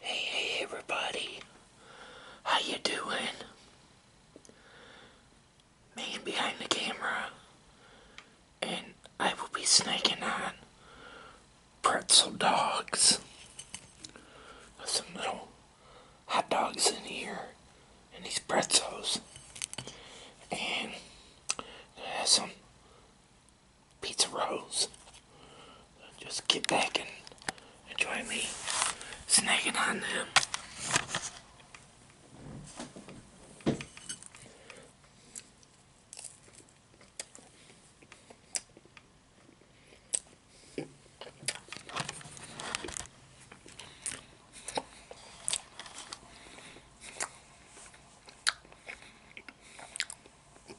Hey, hey, everybody. How you doing? Man behind the camera. And I will be snacking on pretzel dogs. Some little hot dogs in here. And these pretzels. And has some pizza rolls. Just get back and enjoy me snacking on them.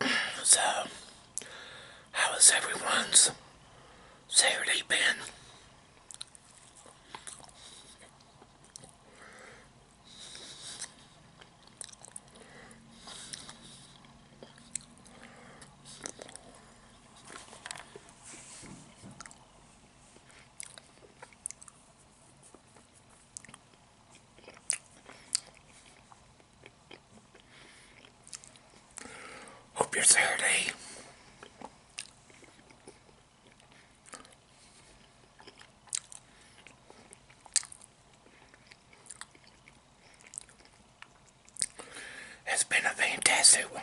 so, how has everyone's Saturday been? Hope your Saturday has eh? been a fantastic one.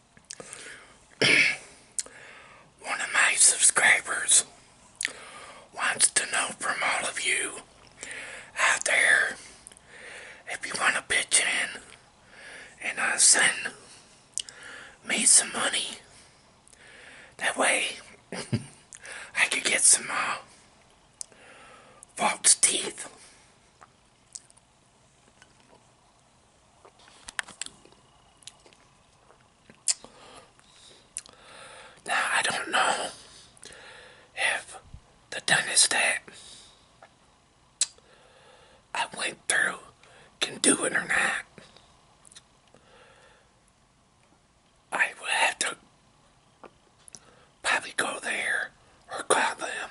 One of my subscribers wants to know from all of you out there if you want to pitch in and uh, send me some money. That way I could get some uh, false teeth. Now, I don't know if the dynasty I went through can do it or not. I would have to probably go there or call them.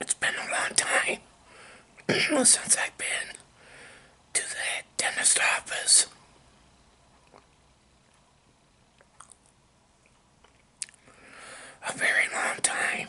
It's been a long time since I've been to the dentist office. A very long time.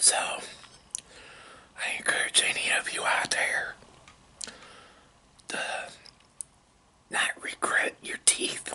So, I encourage any of you out there to not regret your teeth.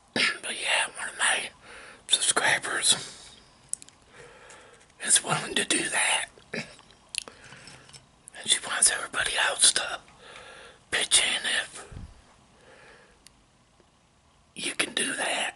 but yeah, one of my subscribers is willing to do that. And she wants everybody else to pitch in if you can do that.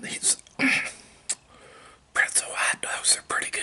These pretzel hot dogs are pretty good.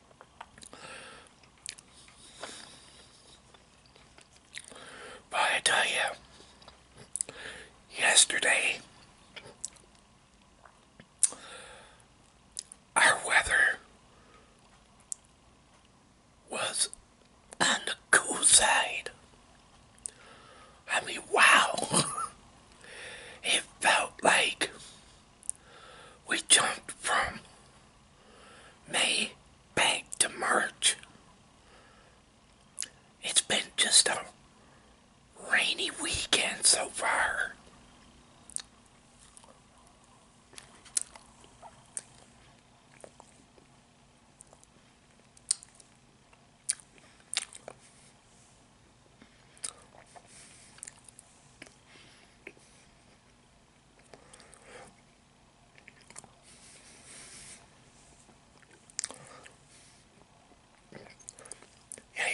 But I tell you, yesterday, our weather was on the cool side. and we wow. it felt like we jumped from May back to March. It's been just a rainy weekend so far.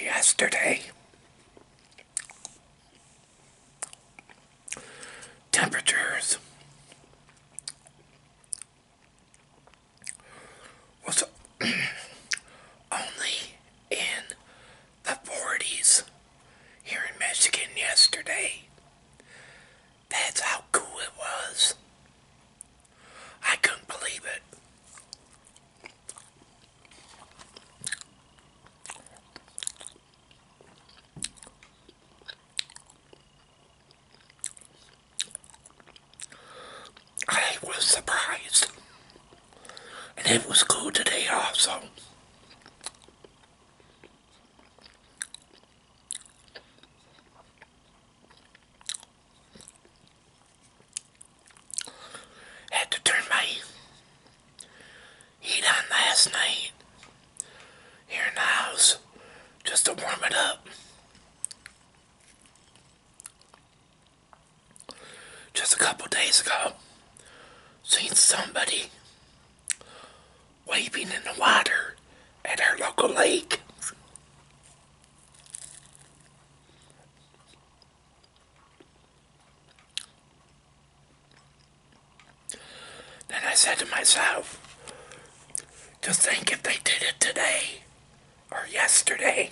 Yesterday, temperatures was only in the 40s here in Michigan yesterday. That's how cool it was. I couldn't believe it. I was surprised. And it was cool today also. Had to turn my heat on last night here in the house just to warm it up. Just a couple days ago seen somebody waving in the water at our local lake. Then I said to myself, just think if they did it today or yesterday.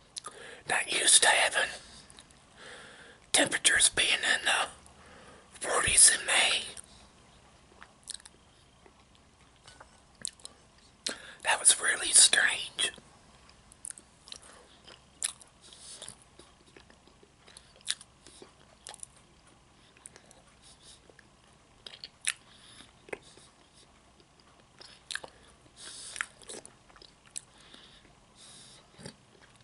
not used to having temperatures being in the 40s in May. That was really strange.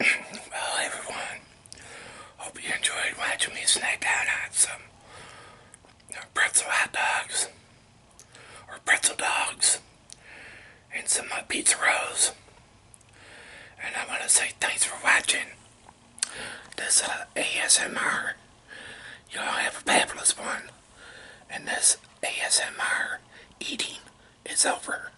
well, everyone, hope you enjoyed watching me snack down on some pretzel hot dogs or pretzel dogs and some of my pizza rolls. And I want to say thanks for watching this uh, ASMR. Y'all have a fabulous one. And this ASMR eating is over.